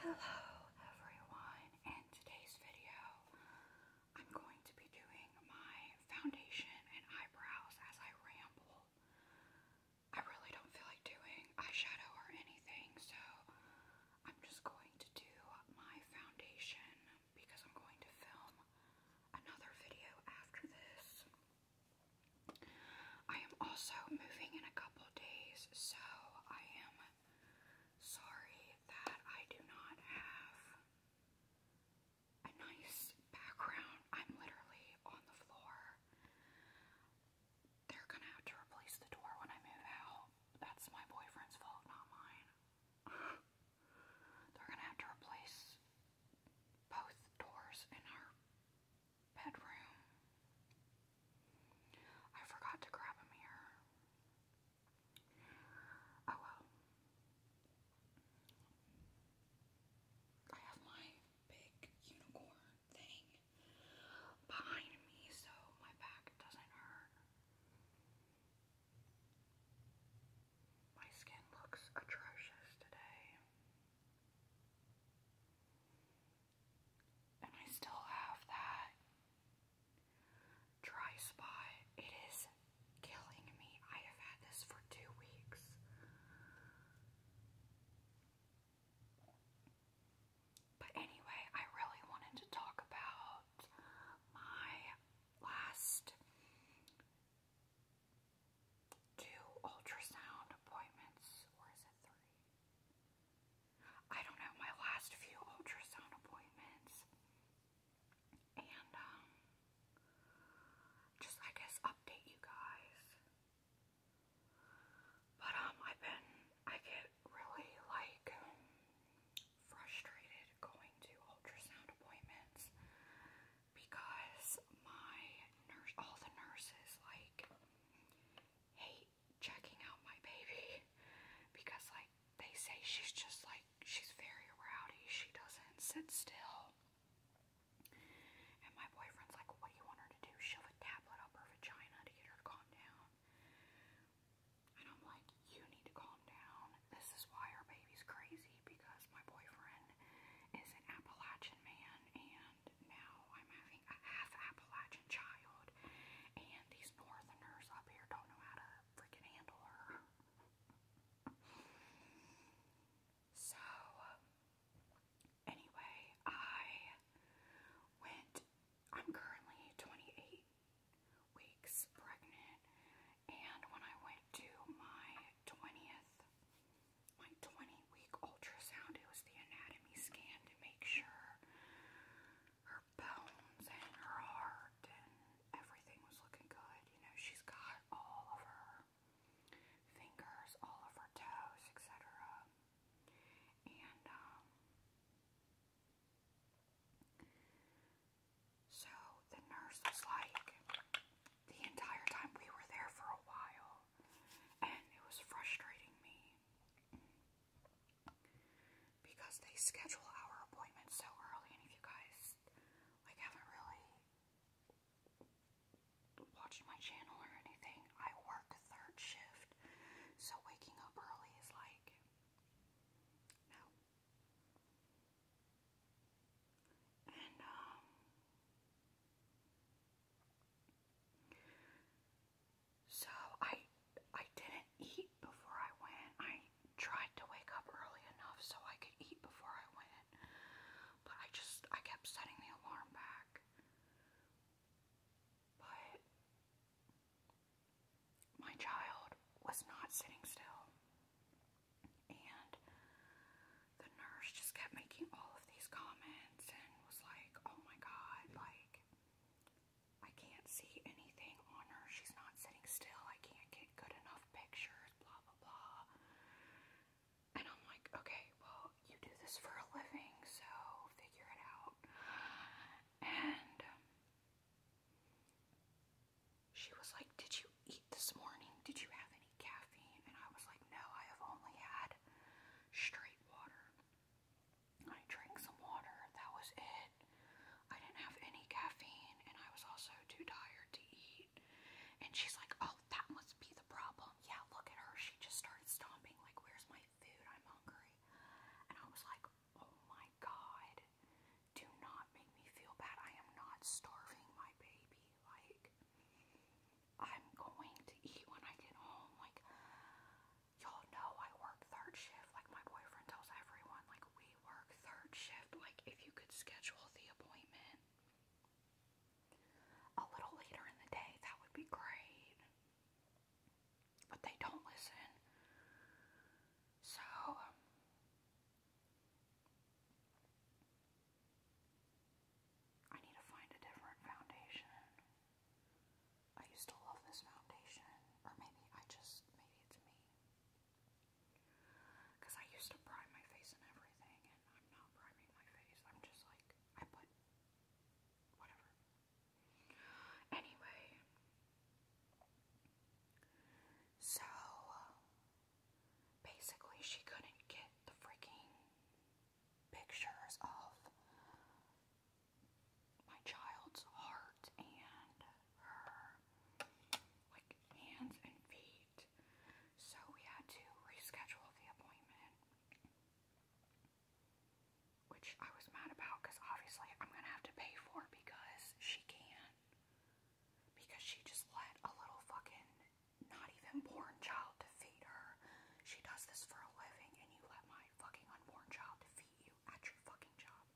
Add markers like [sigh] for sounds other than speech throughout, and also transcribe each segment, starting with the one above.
Hello everyone, in today's video I'm going to be doing my foundation and eyebrows as I ramble. I really don't feel like doing eyeshadow or anything, so I'm just going to do my foundation because I'm going to film another video after this. I am also moving in a couple days, so I am Sorry that I do not have a nice background. I'm literally on the floor. They're gonna have to replace the door when I move out. That's my boyfriend's fault, not mine. They're gonna have to replace both doors in our bedroom. I forgot to grab a mirror. Oh well. I have my big unicorn thing behind me so my back doesn't hurt. My skin looks atrocious today. And I still have that dry spot. It is killing me. I have had this for two weeks. But anyway, I really wanted to talk about my last two ultrasound appointments, or is it three? I don't know, my last few ultrasound appointments. And, um, just, I guess, update you guys. But, um, I've been, I get really, like, frustrated going to ultrasound appointments because my nurse, all the nurses, like, hate checking out my baby because like they say she's just like she's very rowdy. She doesn't sit still. And my boyfriend's like, what do you want her to do? Shove a tablet up her vagina to get her calm down. And I'm like, you need to calm down. This is why our baby's crazy because my boyfriend is an Appalachian man and now I'm having a half Appalachian child, and these northerners up here don't know how to freaking handle her. So, anyway, I went, I'm currently 28 weeks pregnant, and when I went to my 20th, my 20 week ultrasound, it was the anatomy anatomy scan to make sure her bones and her heart and everything was looking good. You know, she's got all of her fingers, all of her toes, etc. And, um, so the nurse was like, the entire time we were there for a while, and it was frustrating me because they schedule our appointments so early and if you guys like haven't really watched my channel or anything, I work third shift. So waking up early is like no. And um so I I didn't eat before I went. I tried to wake up early enough so I could eat before I went. But I just I kept setting the alarm back. But my child was not sitting still. And the nurse just kept making all of these comments and was like, oh my god, like, I can't see anything on her. She's not sitting still. I can't get good enough pictures, blah, blah, blah. And I'm like, okay, well, you do this for a living, so figure it out. And um, she was like, Did you eat this morning? Did you have any caffeine? And I was like, No, I have only had straight water. I drank some water. That was it. I didn't have any caffeine, and I was also too tired to eat. And she's like, Oh, that must be the problem. Yeah, look at her. She just started stomping, like, Where's my food? I'm hungry. And I was like, Oh my god, do not make me feel bad. I am not starving my baby. Like, I'm going to eat when I get home. Like, y'all know I work third shift. Like my boyfriend tells everyone, like we work third shift. Like if you could schedule the appointment a little later in the day, that would be great. But they don't listen. So um, I need to find a different foundation. I used to love this foundation, or maybe I just, maybe it's me. Because I used to prime my face and everything, and I'm not priming my face. I'm just like, I put whatever. Anyway, so basically, she couldn't get the freaking pictures of my child's heart and her like hands and feet. So we had to reschedule the appointment. Which I was mad about because obviously I'm gonna have to pay for because she can't. Because she just let a little fucking not even born child to feed her. She does this for a living and you let my fucking unborn child to you at your fucking job.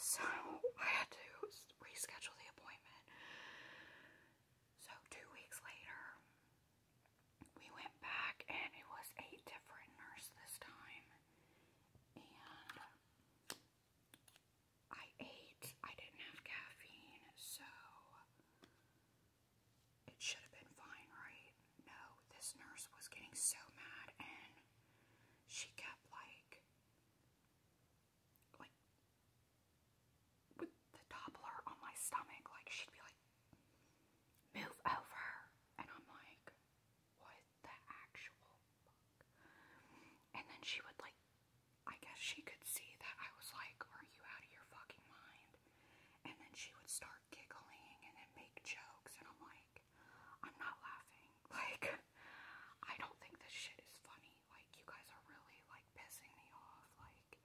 So I had to reschedule the appointment. So two weeks later, we went back and it was a different nurse this time. And I ate, I didn't have caffeine, so it should have been fine, right? No, this nurse was getting so mad and she kept like like with the toddler on my stomach, like she'd be like, move over and I'm like, what the actual And then she would like I guess she could see that I was like, Are you out of your fucking mind? And then she would start giggling and then make jokes, and I'm like, I'm not laughing. [laughs] Like, I don't think this shit is funny. Like, you guys are really, like, pissing me off. Like,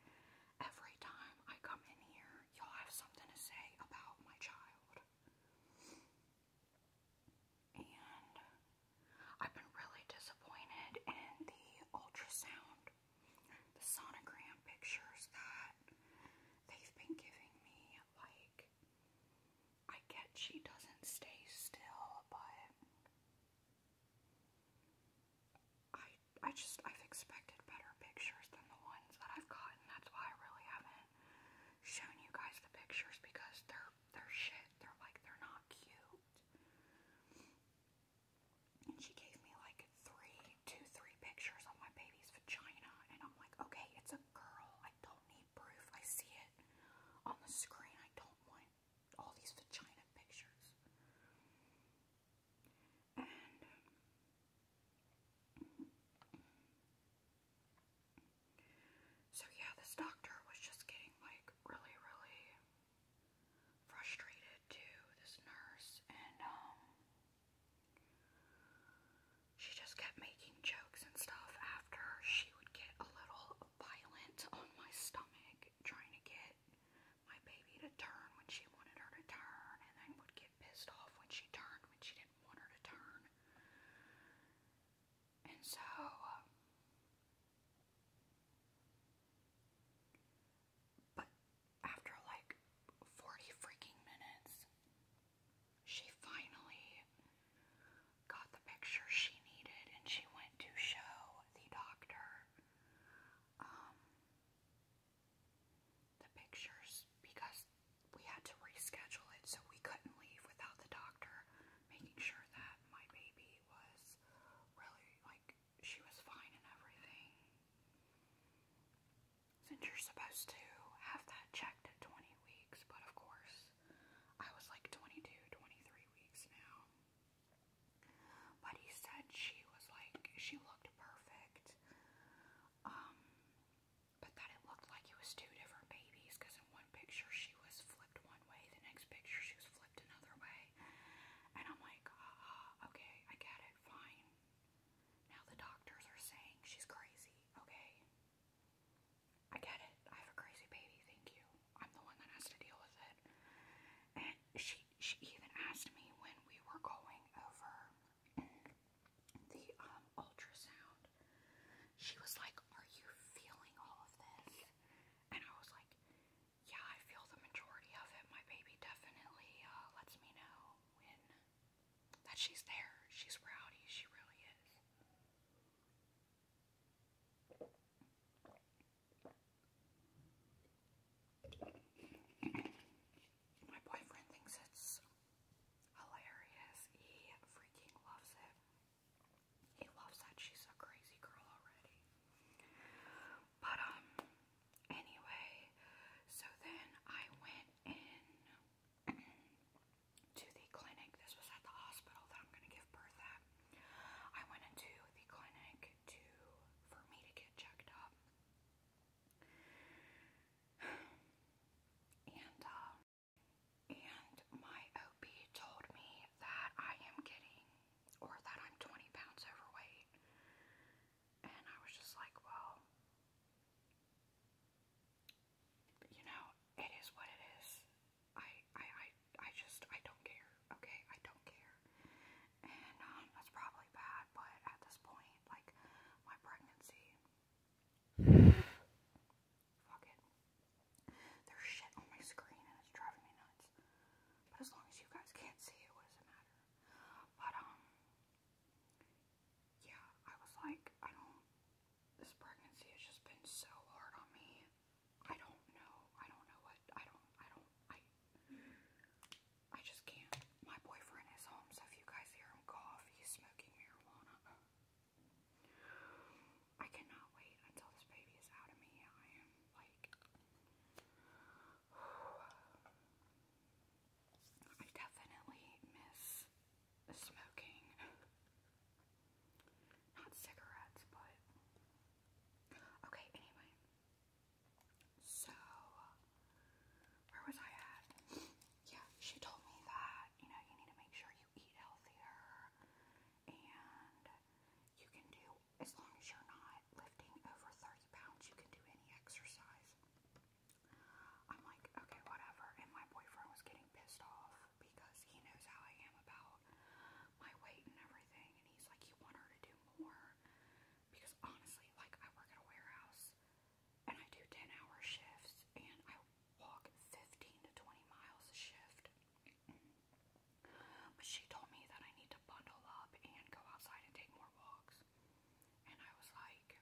every time I come in here, y'all have something to say about my child. And I've been really disappointed in the ultrasound, the sonogram pictures that they've been giving me like I get she doesn't stay still, but I I just I've expected better pictures than the ones that I've gotten. That's why I really haven't shown you guys the pictures because they're they're shit. They're like they're not cute. And she gave me like three, two, three pictures of my baby's vagina, and I'm like, okay, it's a girl. I don't need proof. I see it on the screen. I don't want all these vagina pictures. so, yeah, this doctor was just getting like really, really frustrated to this nurse, and um, she just kept making jokes and stuff after she would get a little violent on my stomach trying to get my baby to turn when she wanted her to turn and then would get pissed off when she turned when she didn't want her to turn. And so but after like 40 freaking minutes, she finally got the picture she needed and she went to show the doctor um, the pictures because we had to reschedule it so we couldn't leave without the doctor making sure that my baby was really like she was fine and everything since you're supposed to have that checked at 20 weeks, but of course, I was like 22, weeks now. But he said she was like, she looked perfect. Um, but that it looked like it was two different babies because in one picture she was flipped one way, the next picture she was flipped another way. And I'm like, uh-uh, okay, I get it, fine. Now the doctors are saying she's crazy, okay? I get it. I have a crazy baby, thank you. I'm the one that has to deal with it. And she she even asked me when we were going over the um, ultrasound. She was like, "Are you feeling all of this?" And I was like, "Yeah, I feel the majority of it. My baby definitely uh, lets me know when that she's there. She's rowdy. She really is. My boyfriend thinks it's hilarious. He freaking loves it. He loves that she's a crazy girl already. But, um, Anyway, so then I went in to the clinic. This was at the hospital that I'm going to give birth at. I went into the clinic to for me to get checked up. [sighs] And um, and my OB told me that I am getting or that I'm 20 pounds overweight. And I was just like, well, you know, it is what it is. I, I, I, I just, I don't care, okay? I don't care. And, um, that's probably bad, but at this point, like, my pregnancy, fuck it. There's shit on my screen and it's driving me nuts. But as long as you guys can't see it, what does it matter? But, um, yeah, I was like, I don't, this pregnancy has just been so hard on me. I don't know. I don't know what, I don't, I don't, I, I just can't. My boyfriend is home, so if you guys hear him cough, he's smoking marijuana. I cannot wait until this baby is out of me. I am like, I definitely miss smoking. Not cigarettes, but. Okay, anyway. So, where was I at? Yeah, she told me that, you know, you need to make sure you eat healthier and you can do, as long as you're not lifting over 30 pounds, you can do any exercise. I'm like, okay, whatever. And my boyfriend was getting pissed off because he knows how I am about my weight and everything. And he's like, you want her to do more? Because honestly, like, I work at a warehouse and I do 10 hour shifts and I walk 15 to 20 miles a shift. But she told me that I need to bundle up and go outside and take more walks. And I was like,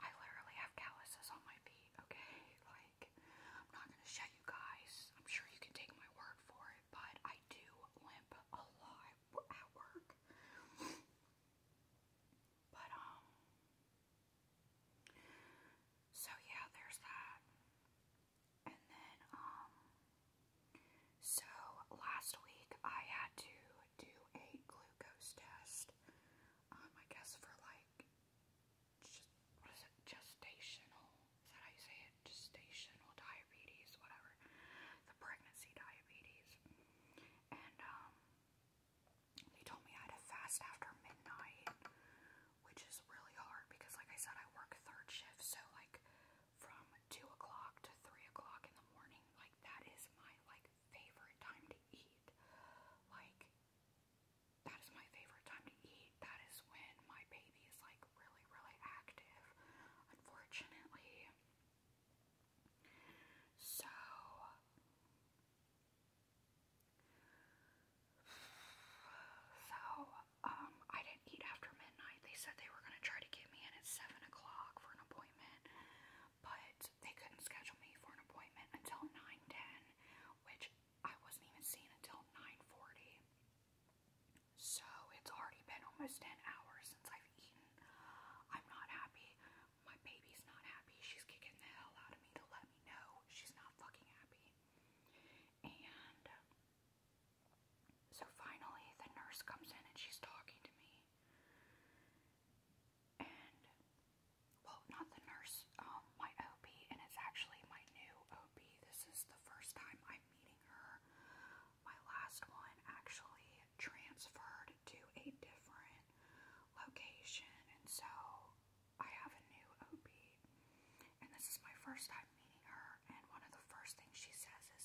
I literally have calluses on my feet, okay? Like, I'm not gonna show you guys. I'm sure you can take my word for it, but I do limp a lot at work. but, um, so yeah, there's that. And then, um, so last week I had to do a glucose test. Um, I guess for like, what is it? Gestational? Is that how you say it? Gestational diabetes, whatever. The pregnancy diabetes. And um, they told me I had to fast after midnight, which is really hard because, like I said, I work third shift, so like from two o'clock to three o'clock in the morning. Like that is my like favorite time to eat. Like that is my favorite time to eat. That is when my baby is like really, really active. Unfortunately. So [sighs] so um I didn't eat after midnight. They said they were going to try to get me in at 7 o'clock for an appointment, but they couldn't schedule me for an appointment until 9.10, which I wasn't even seen until 9.40. So it's already been almost 10 hours since I've eaten. I'm not happy. My baby's not happy. She's kicking the hell out of me to let me know she's not fucking happy. And so finally, the nurse comes in and she's talking to me. And, well, not the nurse, um, my OP, and it's actually my new OP. This is the first time I'm meeting her. My last one actually transferred to a different location, and so I have a new OP. And this is my first time meeting her her, and one of the first things she says is,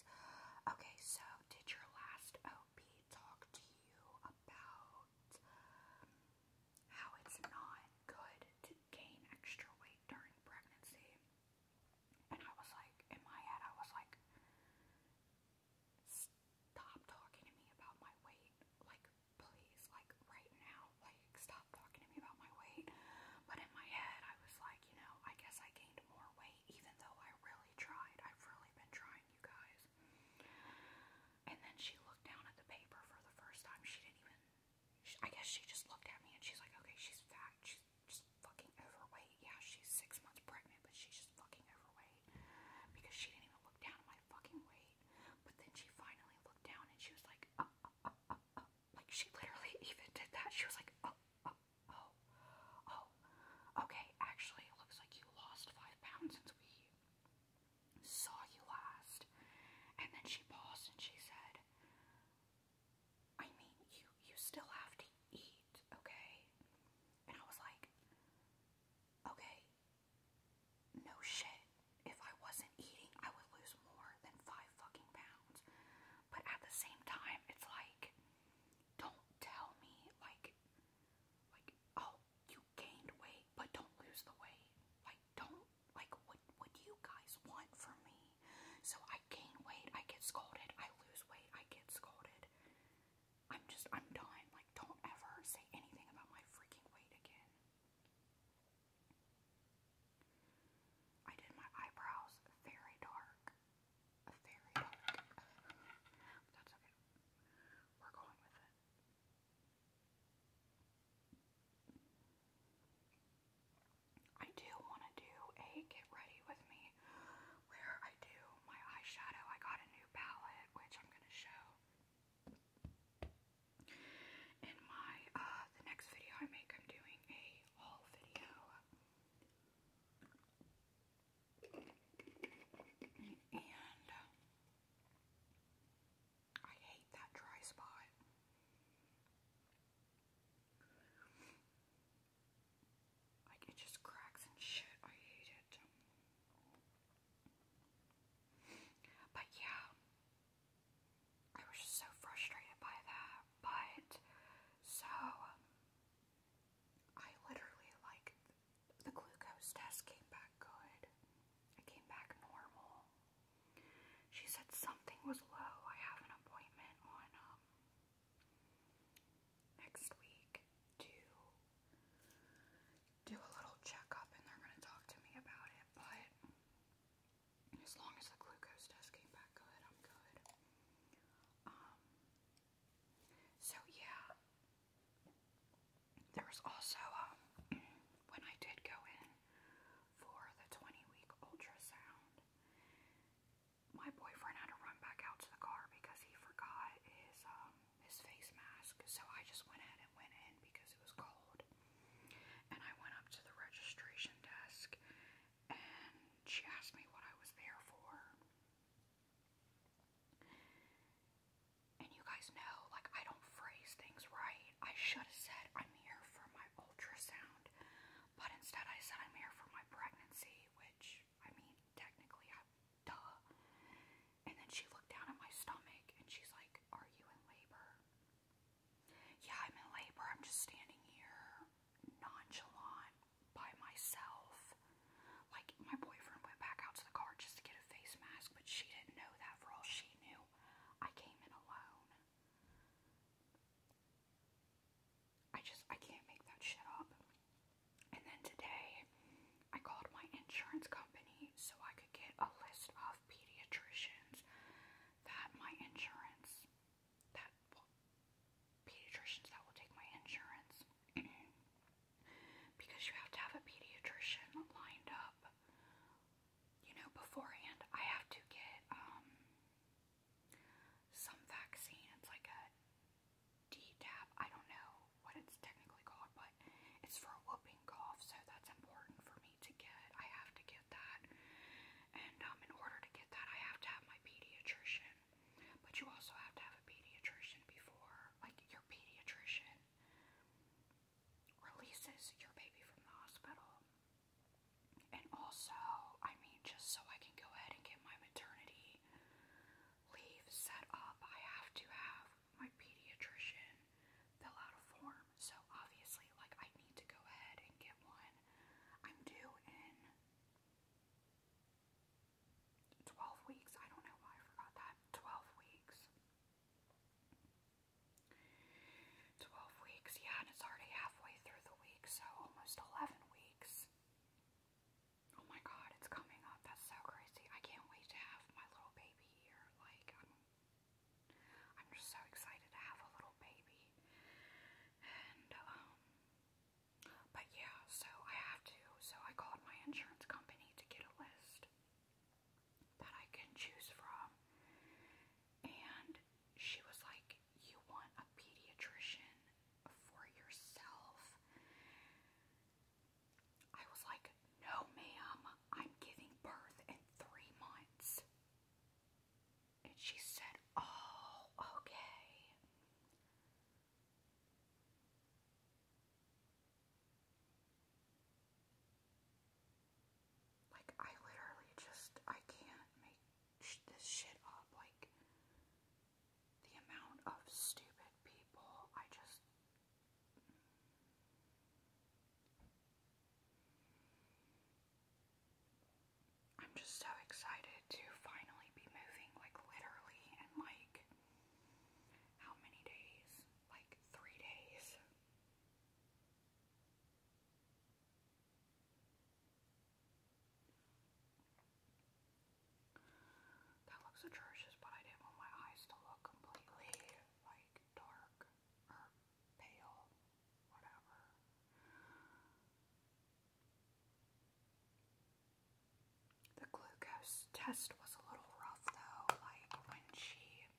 Okay, so did your last OP talk to you about how it's not good to gain extra weight during pregnancy? And I was like, in my head, I was like, Stop talking to me about my weight. Like, please, like, right now, like, stop talking to me about my weight. But in my head, I was like, you know, I guess I gained more weight even though I really tried. I've really been trying, you guys. And then she looked down at the paper for the first time. She didn't even, I guess she just looked at me and she's like, okay, she's fat. She's just fucking overweight. Yeah, she's six months pregnant, but she's just fucking overweight. Because she didn't even look down at my fucking weight. But then she finally looked down and she was like, uh, uh, uh, Like, she literally [laughs] even did that. She was like, uh, Oh, oh, okay. Actually, it looks like you lost five pounds since we saw you last. And then she paused and she said, I mean, you, you still have to eat, okay? And I was like, okay, no shit. If I wasn't eating, I would lose more than five fucking pounds but at the same time, it's like, don't tell me like, like oh, you gained weight, but don't lose the weight. Like, don't like what what do you guys want from me? So I gain weight, I get scolded. I lose weight, I get scolded. I'm just I'm done. Like, don't ever say anything about my freaking weight again. I did my eyebrows very dark. I do want to do a get ready with me where I do my eyeshadow. I got a new palette which I'm going to show in my uh, the next video I make. I'm doing a haul video. And I hate that dry spot. Like it just cracks and shit. I hate it. But yeah, I was just so frustrated by that. But so I literally like the glucose test came back good. It came back normal. She said something was low. I have an appointment on um, next week to do a little checkup and they're gonna talk to me about it, but as long as the glucose test came back good, I'm good. Um, so yeah, there was also um [clears throat] when I did go in for the 20 week ultrasound, my boyfriend had to run back out to the car because he forgot his um, his face mask. So I just went ahead and went in because it was cold. And I went up to the registration desk and she asked me what I was there for. And you guys know, like, I don't phrase things right. I should have said I'm here for my ultrasound, but instead I said I'm here for my pregnancy, which, I mean, technically, I, duh. And then she looked down at my stomach and she's like, Are you in labor? Yeah, I'm in labor. I'm just standing here nonchalant by myself. Like, my boyfriend went back out to the car just to get a face mask, but she didn't know that for all she knew. I came in alone. I just, I can't make that shit up. And then today, I called my insurance company so I could get a list of pediatricians that my insurance that will, pediatricians that will take my insurance [clears throat] because you have to have a pediatrician lined up, you know, beforehand. I have to get um some vaccine. It's like a DTaP. I don't know what it's technically called, but it's for a whooping cough, so that's important for me to get. I have to get that. And um, in order to get that, I have to have my pediatrician but you also have to have a pediatrician before, like your pediatrician releases your baby from the hospital. And also, I mean, just so I can go ahead and get my maternity leave set up, I have to have my pediatrician fill out a form. So obviously, like, I need to go ahead and get one. I'm due in 12 weeks. I don't know why I forgot that. 12 weeks. 12 weeks, yeah, and it's already halfway through the week, so almost 11 weeks. Oh my god, it's coming up. That's so crazy. I can't wait to have my little baby here. Like, I'm, just so excited to have a little baby. And, um, but yeah, so I have to. So I called my insurance company to get a list that I can choose from. And she was like, You want a pediatrician for yourself? I was like, No, ma'am, I'm giving birth in three months. And she said, Oh, okay. Like, I literally just, I can't make this shit up. Like, the amount of stupid people, I just. I'm just so excited to finally be moving, like literally in like how many days? Like three days. That looks atrocious, but I didn't want my eyes to look completely like dark or pale, whatever. The glucose test was a little rough though. Like when she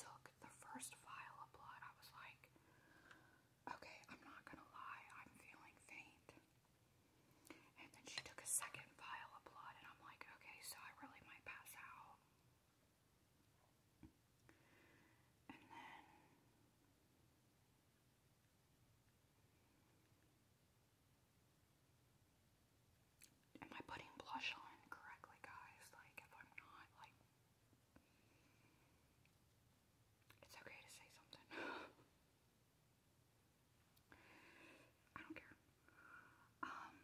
took the first vial of blood, I was like, okay, I'm not gonna lie, I'm feeling faint. And then she took a second vial of blood, and I'm like, okay, so I really might pass out. And then Am I putting blush on correctly, guys? Like, if I'm not, like, it's okay to say something. [laughs] I don't care. Um,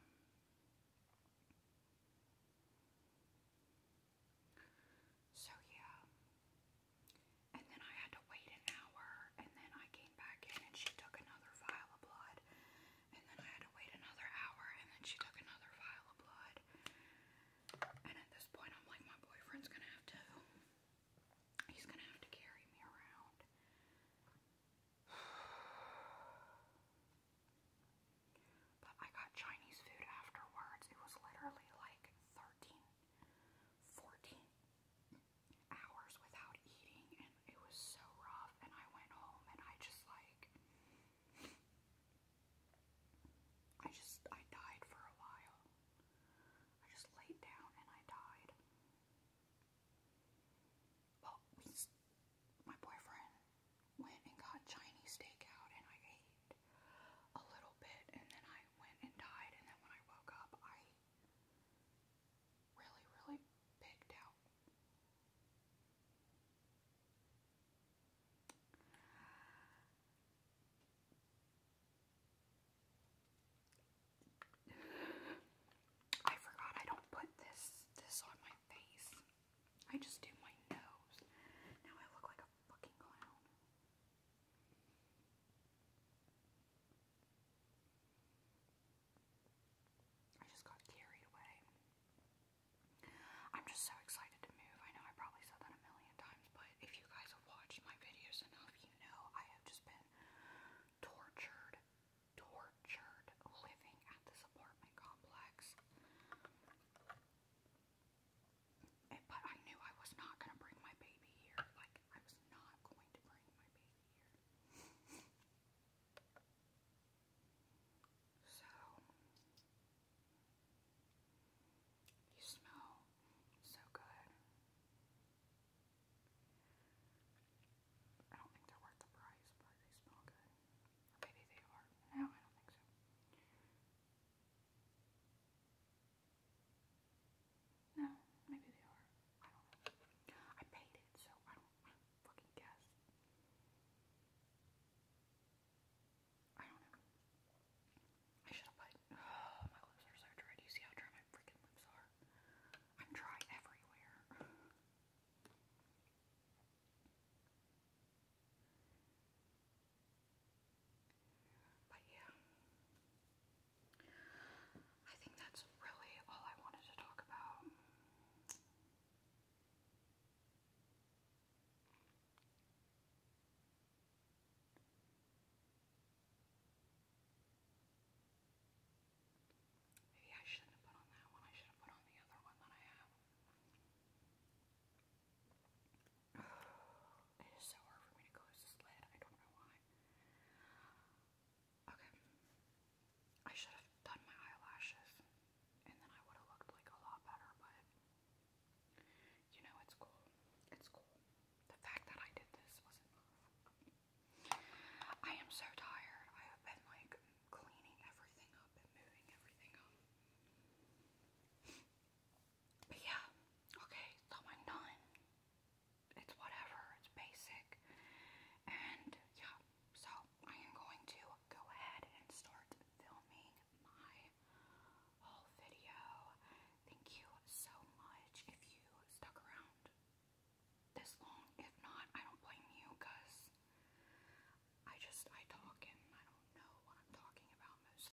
so yeah. And then I had to wait an hour and then I came back in and she took another vial of blood. And then I had to wait another hour and then she took another vial of blood. And at this point I'm like my boyfriend's gonna have to he's gonna have to carry me around. [sighs] But I got Chinese food afterwards. It was literally like 13 14 hours without eating, and it was so rough. And I went home, and I just like, I just, I died for a while. I just laid down and I died. Well, we, my boyfriend went and got Chinese takeout, and I ate a little bit and then I went and died and then when I woke up I really really picked out. I forgot I don't put this this on my face. I just do my nose. Now I look like a fucking clown. I just got carried away. I'm just so excited to move. I know I probably said that a million times, but if you guys have watched my videos enough, you know I have just been tortured, tortured living at this apartment complex. Eh, but I knew I was not going to bring my baby here. Like, I was not going to bring my baby here. so, you smell so good. I don't think they're worth the price, but they smell good. maybe they are. No, I don't think so. No, maybe they are. I don't know. I paid it, so I don't I fucking guess. I don't know. I should have put. Oh, my lips are so dry. Do you see how dry my freaking lips are? I'm dry everywhere. But yeah, I think that's really all I wanted to talk about. Maybe I shouldn't have put on that one, I should have put on the other one that I have. It is so hard for me to close this lid. I don't know why. Okay. I should have done my eyelashes and then I would have looked like a lot better, but you know, it's cool. It's cool. The fact that I did this was enough. I am so tired. I have been like cleaning everything up and moving everything up yeah, okay, so I'm done. It's whatever, it's basic. And yeah, so I am going to go ahead and start filming my whole video. Thank you so much if you stuck around this long. If not, I don't blame you because I just, I talk and I don't know what I'm talking about most